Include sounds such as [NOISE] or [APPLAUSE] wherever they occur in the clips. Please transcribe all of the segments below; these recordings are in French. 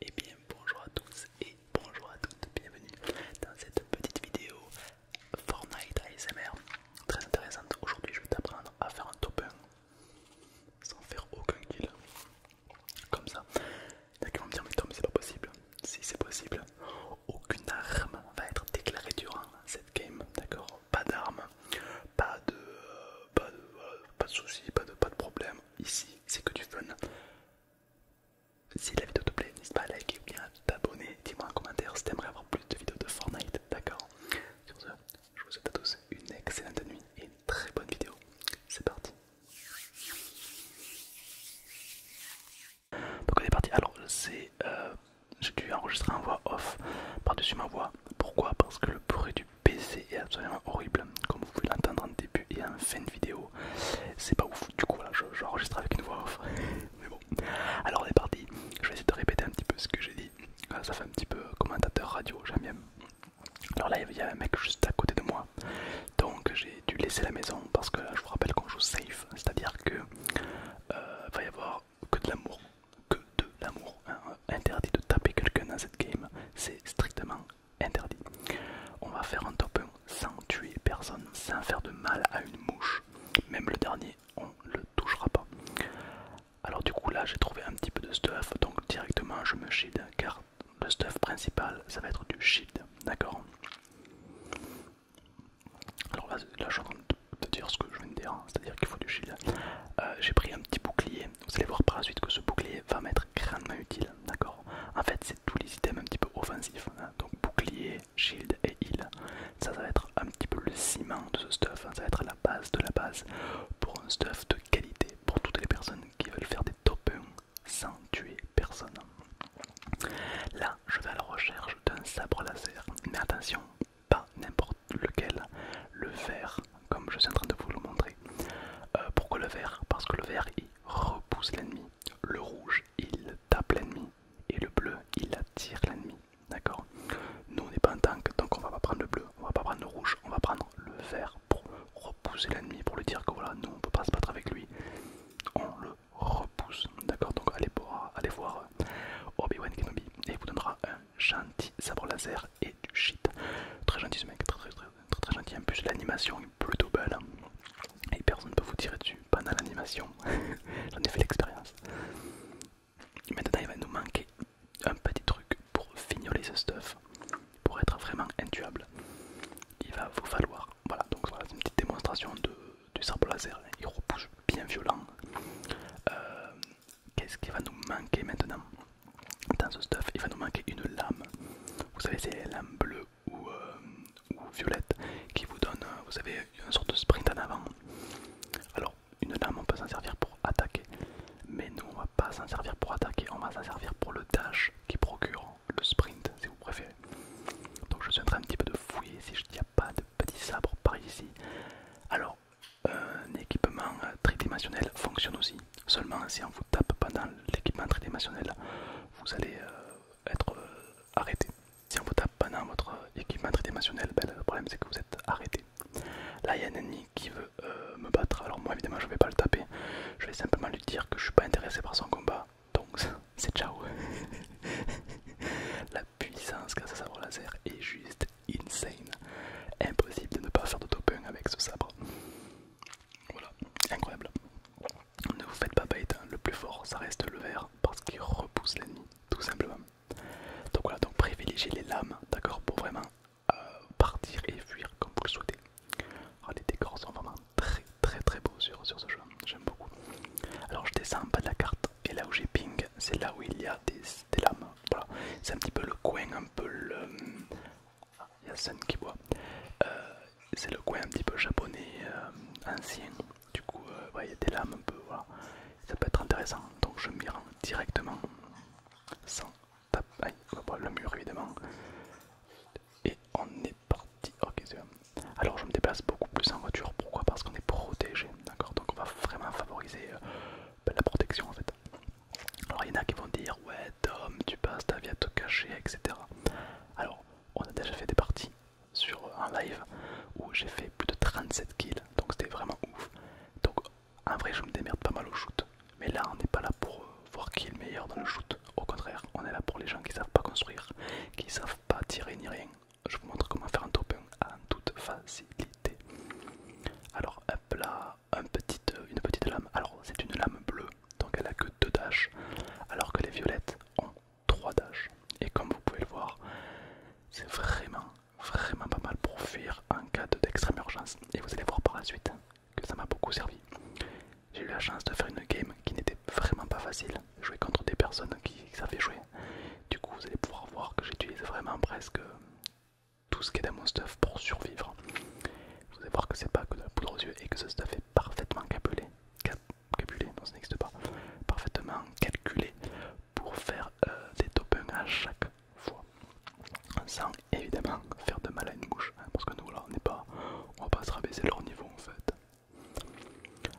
Et bien bonjour à tous et bonjour à toutes, bienvenue dans cette petite vidéo Fortnite ASMR très intéressante. Aujourd'hui je vais t'apprendre à faire un top 1 sans faire aucun kill comme ça. D'accord on vont me dire mais c'est pas possible. Si c'est possible, aucune arme va être déclarée durant cette game, d'accord Pas d'armes, pas de, euh, pas de, euh, pas de soucis, pas de, pas de problème, ici, c'est que du fun. Si la vidéo te plaît, n'hésite pas à liker ou bien à t'abonner. Dis-moi en commentaire si aimerais avoir plus de vidéos de Fortnite, d'accord Sur ce, je vous souhaite à tous une excellente nuit et une très bonne vidéo. C'est parti Donc on est parti, alors c'est... Euh, j'ai dû enregistrer en voix off par-dessus ma voix. Pourquoi Parce que le bruit du PC est absolument horrible, comme vous pouvez l'entendre en début et en fin de vidéo. C'est pas ouf, du coup voilà, j'enregistre avec une voix off. [LAUGHS] Mais bon, alors on est parti. Je vais essayer de répéter un petit peu ce que j'ai dit. Euh, ça fait un petit peu euh, commentateur radio, j'aime bien. Alors là, il y a un mec juste à côté de moi, donc j'ai dû laisser la maison parce que je vous rappelle qu'on joue safe, c'est-à-dire que euh, va y avoir que de l'amour, que de l'amour. Hein. Interdit de taper quelqu'un dans cette game, c'est strictement interdit. On va faire un top 1 sans tuer personne, sans faire de mal à une mouche. Même le dernier, on le touchera pas. Alors du coup là j'ai trouvé un petit peu de stuff, donc directement je me shield car le stuff principal ça va être du shield, d'accord Alors là, je suis en train dire ce que je viens de dire, hein. c'est-à-dire qu'il faut du shield. Euh, j'ai pris un petit bouclier vous allez voir par la suite que ce bouclier va m'être grandement utile, d'accord En fait, c'est tous les items un petit peu offensifs, hein. donc bouclier, shield et heal. Ça, va être un petit peu le ciment de ce stuff, hein. ça va être la base de la base pour un stuff de qualité pour toutes les personnes qui veulent faire des top sans tuer personne. Là, je vais à la recherche d'un sabre laser, mais attention, pas n'importe lequel, le vert comme je suis en train de vous le montrer. Euh, pourquoi le vert Parce que le vert il repousse l'ennemi, le rouge il tape l'ennemi et le bleu il attire l'ennemi. D'accord Nous on n'est pas en tank donc on va pas prendre le bleu, on va pas prendre le rouge, on va prendre le vert pour repousser l'ennemi, pour lui dire que voilà, nous on peut pas se battre avec lui, on le repousse. D'accord Donc allez, allez voir euh, Obi-Wan Kenobi et il vous donnera un gentil sabre laser et du shit. Très gentil ce mec, très très très, gentil. En plus l'animation est plutôt belle hein. et personne ne peut vous tirer dessus, pas l'animation. [LAUGHS] J'en ai fait l'expérience. Maintenant il va nous manquer un petit truc pour fignoler ce stuff, pour être vraiment intuable. Il va vous falloir, voilà, donc voilà, c'est une petite démonstration du sable laser, il repousse bien violent. Euh, qu'est-ce qui va nous manquer maintenant dans ce stuff, il va nous manquer une lame. Vous savez, c'est les lames bleues ou, euh, violettes qui vous donnent, euh, vous savez, une sorte de sprint en avant. Alors, une lame, on peut s'en servir pour attaquer, mais nous, on va pas s'en servir pour attaquer, on va s'en servir pour le dash qui procure le sprint, si vous préférez. Donc, je suis en un petit peu de fouiller si je n'y a pas de petits sabre par ici. Alors, un équipement tridimensionnel fonctionne aussi. Seulement si on vous tape pendant l'équipement tridimensionnel, vous allez euh, être euh, arrêté. Si on vous tape pendant votre équipement tridimensionnel, ben, le problème c'est que vous êtes arrêté. Là il y a un ennemi qui veut euh, me battre, alors moi évidemment je vais pas le taper, je vais simplement lui dire que je suis pas intéressé par son combat, donc [LAUGHS] c'est ciao [LAUGHS] La puissance grâce à sabre laser est juste insane. Impossible de ne pas faire de top avec ce sabre. Voilà, incroyable. Ne vous faites pas bête, hein. le plus fort ça reste le vert parce qu'il repousse l'ennemi, tout simplement. Donc voilà, donc privilégiez les lames, d'accord, pour vraiment euh, partir et fuir comme vous le souhaitez. Oh, les décors sont vraiment très très très beaux sur, sur ce jeu, j'aime beaucoup. Alors je descends en de la carte et là où j'ai ping, c'est là où il y a des des lames. Voilà. C'est un petit peu le coin, un peu le. Euh, qui boit. Euh, c'est le coin un petit peu japonais euh, ancien. Du coup, il y a des lames un peu. Ça peut être intéressant. Donc je m'y rends directement sans taper. Ah, le mur évidemment. Et on est parti. Ok, alors je me déplace beaucoup plus en voiture, pourquoi Parce qu'on est protégé, d'accord Donc on va vraiment favoriser ben, la protection en fait. Alors il y en a qui vont dire ouais Tom tu passes ta vie à te cacher etc. Alors on a déjà fait des parties sur un live où j'ai fait plus de 37 kills donc c'était vraiment ouf. Donc en vrai je me démerde pas mal au shoot mais là on n'est pas là pour euh, voir qui est le meilleur dans le shoot. Au contraire on est là pour les gens qui savent pas construire, qui savent pas tirer ni rien. Je vous montre comment faire un top 1 en toute facilité. Alors hop là une petite lame. Alors c'est une lame bleue, donc elle a que deux dashes, alors que les violettes ont trois dashes. Et comme vous pouvez le voir, c'est vraiment, vraiment pas mal pour fuir en cas d'extrême urgence. Et vous allez voir par la suite que ça m'a beaucoup servi. J'ai eu la chance de faire une game qui n'était vraiment pas facile, jouer contre des personnes qui savaient jouer. Du coup, vous allez pouvoir voir que j'utilise vraiment presque tout ce qui est dans mon stuff pour survivre. Vous allez voir que c'est pas que de la poudre aux yeux et que ce stuff est parfaitement calculé, non ça pas, parfaitement calculé pour faire euh, des top à chaque fois. Sans évidemment faire de mal à une bouche, hein, parce que nous on n'est pas, on va pas se rabaisser leur niveau en fait.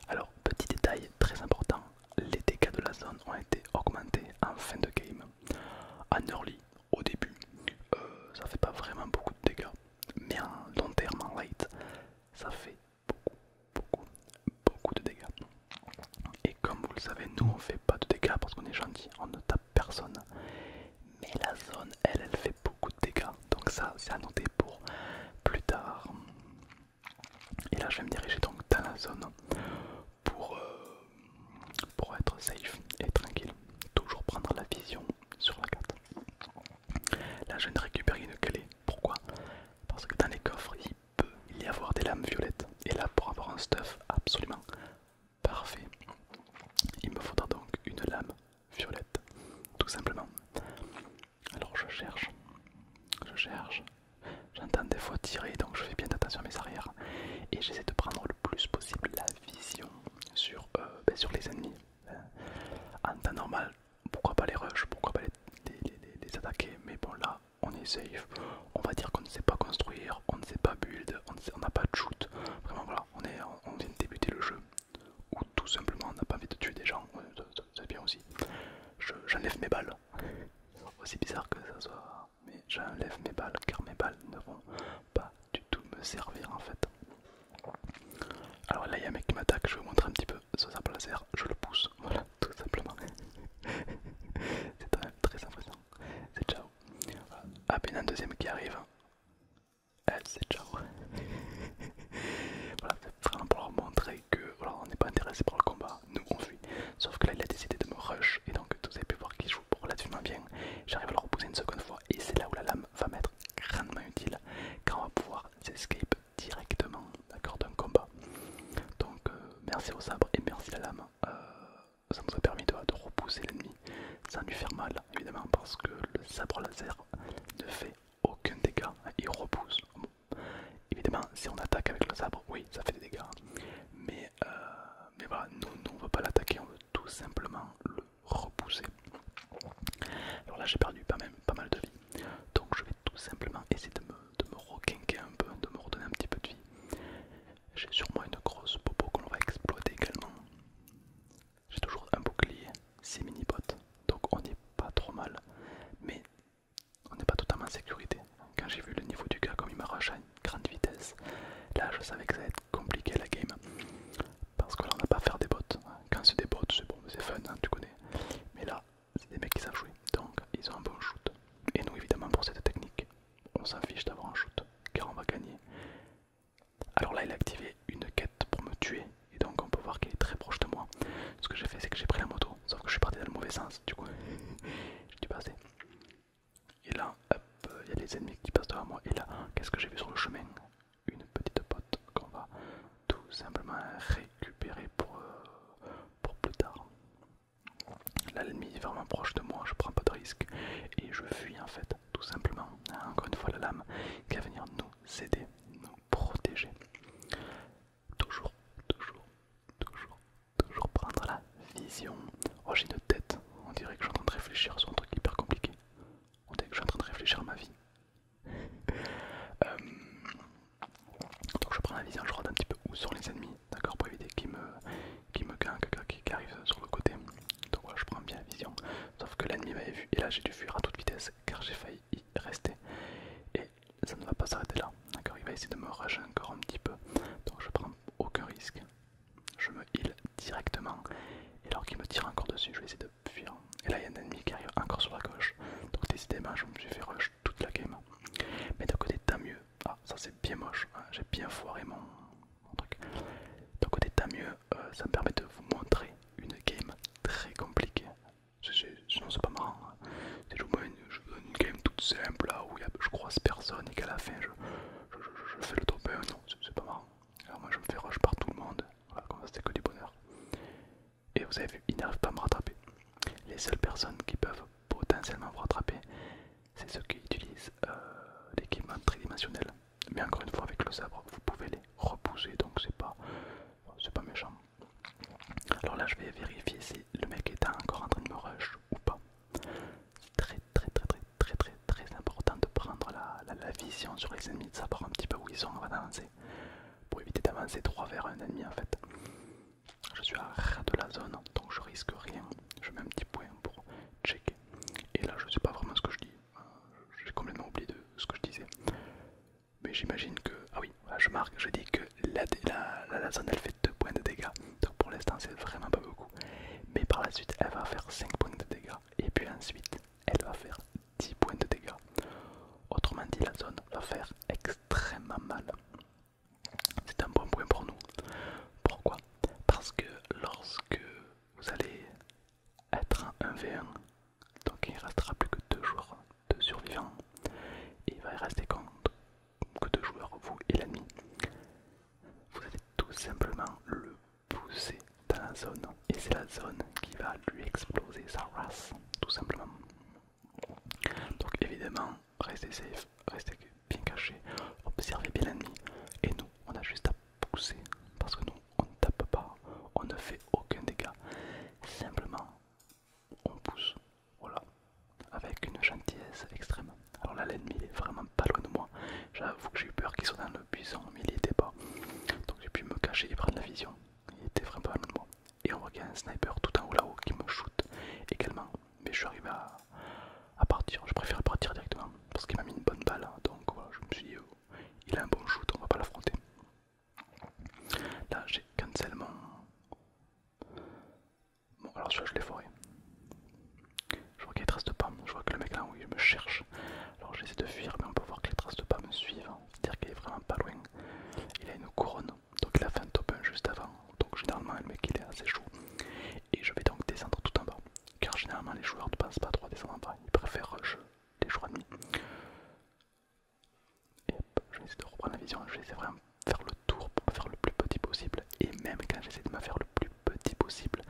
Alors, petit détail très important, les dégâts de la zone ont été augmentés en fin de game. En early, au début, euh, ça fait pas vraiment beaucoup de dégâts, mais en long terme, en light, ça fait beaucoup, beaucoup, beaucoup de dégâts. Et comme vous le savez, nous on fait pas de dégâts parce qu'on est gentil, on ne tape personne. Mais la zone, elle, elle fait beaucoup de dégâts, donc ça, c'est à noter pour plus tard. Et là, je vais me diriger donc dans la zone euh, pour, être safe et tranquille. Toujours prendre la vision sur la carte. Là je ne récupère une clé. Pourquoi Parce que dans les coffres il peut y avoir des lames violettes. Et là pour avoir un stuff absolument parfait, il me faudra donc une lame violette. Tout simplement. Alors je cherche. Je cherche. J'entends des fois tirer, donc je fais bien attention à mes arrières. Et j'essaie de prendre le plus possible la vision sur, euh, ben, sur les ennemis. Hein. En temps normal, pourquoi pas les rush, pourquoi pas les, attaquer, mais bon là, on est safe. On va dire qu'on ne sait pas construire, on ne sait pas build, on n'a pas de shoot. Vraiment voilà, on, est, on vient de débuter le jeu. Ou tout simplement, on n'a pas envie de tuer des gens, c'est bien aussi. J'enlève mes balles. Aussi bizarre que ça soit mais j'enlève mes balles car mes balles ne vont pas du tout me servir en fait. Alors là, il y a un mec qui m'attaque, je vais vous montrer un petit peu ce sabre laser, je le pousse, [LAUGHS] voilà, tout simplement. [LAUGHS] C'est très, très impressionnant. C'est ciao. À ah, peine un deuxième qui arrive. C'est ciao. [LAUGHS] voilà, c'est vraiment pour leur montrer que voilà, on n'est pas intéressé par le combat, nous on fuit. Sauf que là, il a décidé de me rush et donc vous avez pu voir qu'il joue relativement bien j'arrive à le repousser une seconde fois et c'est là où la lame va m'être grandement utile car on va pouvoir s'escape directement d'accord d'un combat donc euh, merci au sabre et merci à la lame euh, ça nous a permis de, repousser l'ennemi sans lui faire mal évidemment parce que le sabre laser ne fait aucun dégât il repousse évidemment si on attaque avec le sabre oui ça fait des dégâts mais euh, mais, voilà, nous, on ne veut pas l'attaquer, on veut tout simplement le repousser. Alors là j'ai perdu pas, mal de vie, donc je vais tout simplement essayer de me, requinquer un peu, de me redonner un petit peu de vie. J'ai sûrement une grosse popo qu'on va exploiter également. J'ai toujours un bouclier, 6 mini-bottes, donc on est pas trop mal. Mais on n'est pas totalement en sécurité. Quand j'ai vu le niveau du gars comme il m'arrache à une grande vitesse, là je savais que ça allait être compliqué la game. Parce que là on n'a pas à faire des bots. Quand c'est des bots, c'est bon, c'est fun, hein, tu connais. Mais là, c'est des mecs qui savent jouer. Donc ils ont un bon shoot. Et nous évidemment pour cette technique, on s'en fiche d'avoir un shoot. Car on va gagner. Alors là il a activé une quête pour me tuer. Et donc on peut voir qu'il est très proche de moi. Ce que j'ai fait c'est que j'ai pris la moto. Sauf que je suis parti dans le mauvais sens. Du coup [LAUGHS] J'ai dû passer. Et là, hop, il y a des ennemis qui passent devant moi. Et là, qu'est-ce que j'ai vu sur le chemin Une petite pote qu'on va tout simplement récupérer pour, euh, pour plus tard. L'ennemi est vraiment proche de moi, je prends pas de risque et je fuis en fait, tout simplement. Encore une fois, la lame qui va venir nous aider, nous protéger toujours, toujours, toujours, toujours prendre la vision. Oh, j'ai une tête, on dirait que je suis en train de réfléchir sur un truc hyper compliqué. On dirait que je suis en train de réfléchir à ma vie. [LAUGHS] Euh, donc je prends la vision, je regarde un petit peu où sont les ennemis, d'accord, pour éviter qu'il me qui me qui, qui arrive sur le côté. Donc voilà, je prends bien la vision. Sauf que l'ennemi m'avait vu et là j'ai dû fuir à toute vitesse car j'ai failli y rester ça ne va pas s'arrêter là. D'accord, il va essayer de me rager encore un petit peu. Donc je prends aucun risque. Je me heal directement. Et alors qu'il me tire encore dessus, je vais essayer de fuir. Et là il y a un ennemi qui arrive encore sur la gauche. Donc décidément je me suis fait rush toute la game. Mais d'un côté tant mieux. Ah ça c'est bien moche. Hein. J'ai bien foiré mon, truc. D'un côté tant mieux, euh, ça me permet de vous montrer une game très compliquée. Sinon c'est pas marrant. Hein. Je joue une game toute simple où je croise personne et qu'à la fin je, fais le top 1, non c'est pas marrant. Alors moi je me fais rush par tout le monde, voilà, comme ça c'était que du bonheur. Et vous avez vu, ils n'arrivent pas à me rattraper. Les seules personnes qui peuvent potentiellement vous rattraper, c'est ceux qui utilisent euh, l'équipement tridimensionnel. Mais encore une fois avec le sabre, vous pouvez les repousser donc c'est pas, pas méchant. Alors là, je vais vérifier si le mec est encore en train de me rush ou pas. C'est très, très, très, très, très, très, très important de prendre la, vision sur les ennemis, de savoir un petit peu où ils sont avant d'avancer. Pour éviter d'avancer droit vers un ennemi en fait. Je suis à ras de la zone, donc je risque rien. Je mets un petit point pour checker. Et là, je sais pas vraiment ce que je dis. Euh, j'ai complètement oublié de ce que je disais mais j'imagine que... Ah oui, je marque, je dis que la, la, zone elle fait 2 points de dégâts, donc pour l'instant c'est vraiment pas beaucoup. Mais par la suite elle va faire 5 points de dégâts, et puis ensuite elle va faire 10 points de dégâts. Autrement dit, la zone va faire extrêmement mal. C'est un bon point pour nous. Pourquoi Parce que lorsque vous allez être en 1v1, donc il ne restera plus que 2 joueurs de survivants. Et il va rester compte que deux joueurs, vous et l'ennemi. Vous allez tout simplement le pousser dans la zone. Et c'est la zone qui va lui exploser sa race, tout simplement. Donc évidemment, restez safe, restez bien caché observez bien l'ennemi. Et nous, on a juste à pousser parce que nous, on ne tape pas, on ne fait aucun dégât. Simplement, on pousse, voilà. Avec une gentillesse extrême. Alors là l'ennemi est vraiment pas loin de moi. J'avoue que j'ai eu peur qu'il soit dans le buisson, mais il était pas. Donc j'ai pu me cacher et prendre la vision. Il était vraiment pas loin de moi. Et on voit qu'il y a un sniper tout en haut là-haut qui me shoot également. Mais je suis arrivé à, partir. Je préfère partir directement parce qu'il m'a mis une bonne balle. Hein. Donc voilà, je me suis dit, oh, il a un bon shoot, on va pas l'affronter. Là, j'ai cancel mon. Bon, alors celui-là, je l'ai foré. Je vois qu'il y a des traces de pas. Je vois que le mec là, où il me cherche. Alors j'essaie de fuir, mais on peut voir que les traces de pas me suivent. C'est-à-dire qu'il est vraiment pas loin. Il a une couronne, donc il a fait un top 1 juste avant. Donc généralement, le mec il est assez chaud. Et je vais donc descendre tout en bas. Car généralement, les joueurs ne passent pas trop à descendre en bas. Ils préfèrent rush les joueurs ennemis. Et je vais essayer de reprendre la vision, je vais essayer vraiment de faire le tour pour me faire le plus petit possible. Et même quand j'essaie de me faire le plus petit possible,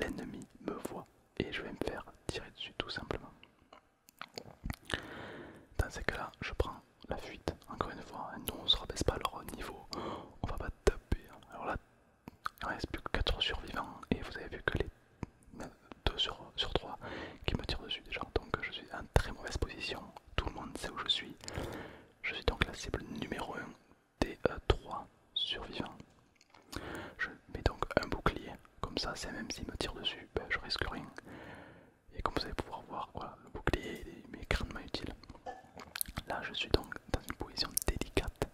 l'ennemi me voit et je vais me faire tirer dessus tout simplement. Dans ces cas-là, je prends la fuite, encore une fois, hein, nous on se rabaisse pas leur niveau, [GASPS] on va pas taper. Hein. Alors là, il reste plus que 4 survivants et vous avez vu que les 2 sur, sur 3 qui me tirent dessus déjà, donc je suis très mauvaise position. Tout le monde sait où je suis. Je suis donc la cible numéro 1 des 3 euh, survivants. Je mets donc un bouclier, comme ça, c'est même s'il me tire dessus, ben, je risque rien. Et comme vous allez pouvoir voir, le bouclier est grandement utile. Là, je suis donc dans une position délicate,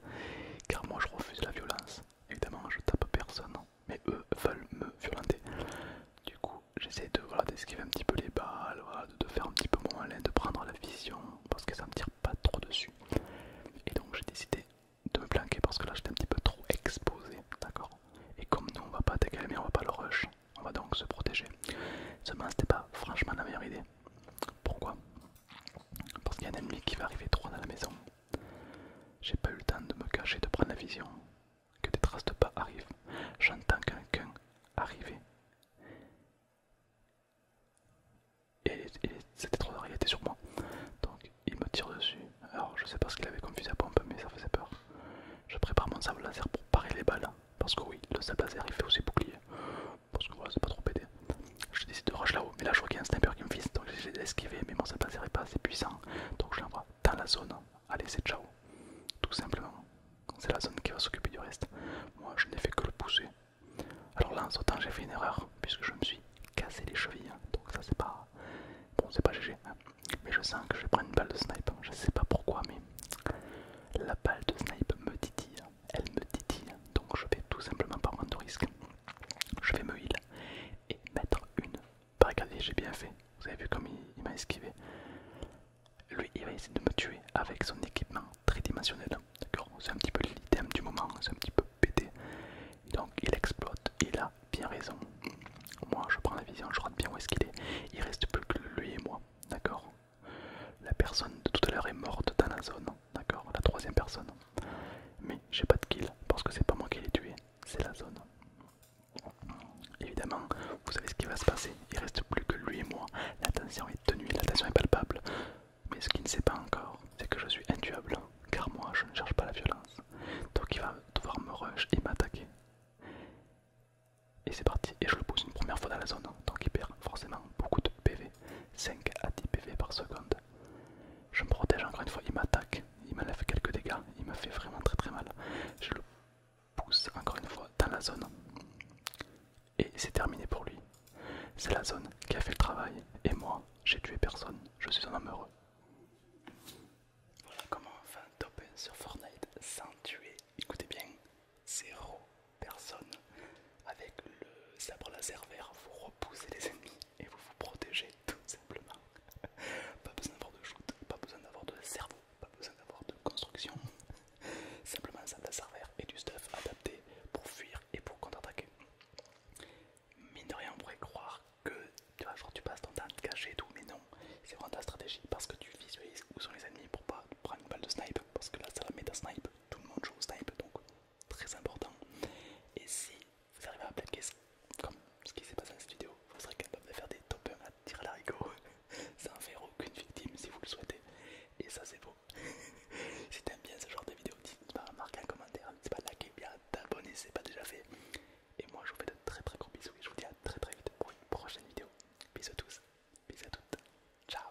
car moi je refuse la violence. Évidemment, je tape personne, mais eux veulent me violenter. Du coup, j'essaie de voilà, d'esquiver un petit peu les balles, de, faire un petit peu moins malin, de prendre la vision parce que ça me tire pas trop dessus. Et donc j'ai décidé de me planquer parce que là j'étais un petit peu trop exposé, d'accord Et comme nous on va pas attaquer mais on va pas le rush, on va donc se protéger. Seulement c'était pas franchement la meilleure idée. Pourquoi Parce qu'il y a un ennemi qui va arriver droit dans la maison. J'ai pas eu le temps de me cacher, de prendre la vision que des traces de pas arrivent. J'entends quelqu'un arriver. Et, c'était trop tard, était sur moi. Donc il me tire dessus. Alors je sais pas ce qu'il avait comme fusil à pompe, mais ça faisait peur. Je prépare mon sable laser pour parer les balles. Parce que oui, le sable laser il fait aussi bouclier. Parce que voilà, c'est pas trop pété. Je décide de rush là-haut, mais là je vois qu'il y a un sniper qui me vise. Donc j'ai esquivé, mais mon sable laser est pas assez puissant. Donc je l'envoie dans la zone allez c'est ciao. Tout simplement. C'est la zone qui va s'occuper du reste. Moi je n'ai fait que le pousser. Alors là en temps, j'ai fait une erreur puisque je me suis cassé les chevilles. Hein. Donc ça c'est pas... Bon c'est pas GG. Hein. Mais je sens que je vais prendre une balle de snipe. Hein. Je sais pas pourquoi mais... La balle de snipe me titille. Elle me titille. Donc je vais tout simplement par prendre de risque. Je vais me heal et mettre une bah, regardez, j'ai bien fait. Vous avez vu comme il, m'a esquivé. Lui, il va essayer de me tuer avec son équipement tridimensionnel. D'accord C'est un petit peu l'item du moment, hein, c'est un petit peu pété. Donc il explote, il a bien raison. Moi, je prends la vision, je rate bien où est-ce qu'il est. Il reste plus que lui et moi, d'accord La personne de tout à l'heure est morte dans la zone, d'accord La troisième personne. Mais j'ai pas de kill parce que c'est pas moi qui l'ai tué, c'est la zone. Évidemment, vous savez ce qui va se passer. Il reste plus que lui et moi. La tension est tenue, la tension est palpable. Mais ce qu'il ne sait pas encore, c'est que je suis induable, car moi je ne cherche pas la violence. Donc il va devoir me rush et m'attaquer. Et c'est parti, et je le pousse une première fois dans la zone, donc il perd forcément beaucoup de PV, 5 à 10 PV par seconde. Je me protège encore une fois, il m'attaque, il m'a quelques dégâts, il m'a fait vraiment très très mal. Je le pousse encore une fois dans la zone. Et c'est terminé pour lui. C'est la zone qui a fait le travail. Et moi, j'ai tué personne. Je suis un homme heureux. Voilà comment on fait un top 1 sur Fortnite sans tuer. Écoutez bien, zéro personne. Avec le sabre laser vert, vous repoussez les ennemis et vous vous protégez tout simplement. [LAUGHS] pas besoin d'avoir de shoot, pas besoin d'avoir de cerveau, pas besoin d'avoir de construction. [LAUGHS] Simplement ça va à serveur et du stuff adapté pour fuir et pour contre-attaquer. Mine de rien, on pourrait croire que tu vas genre tu passes ton temps à te cacher tout, mais non, c'est vraiment ta stratégie parce que tu visualises où sont les ennemis pour pas prendre une balle de snipe parce que là, ça la met à snipe, tout le monde joue au snipe donc très important. Et si vous arrivez à plaquer, comme ce qui s'est passé dans cette vidéo, vous serez capable de faire des top 1 à tirer à l'haricot [LAUGHS] sans faire aucune victime si vous le souhaitez. Et ça c'est beau. [LAUGHS] si t'aimes bien ce genre de vidéo, n'hésite pas à bah, marquer un commentaire, n'hésite pas à liker, bien à t'abonner si c'est pas déjà fait. Et moi je vous fais de très très gros bisous et je vous dis à très très vite pour une prochaine vidéo. Bisous à tous, bisous à toutes, ciao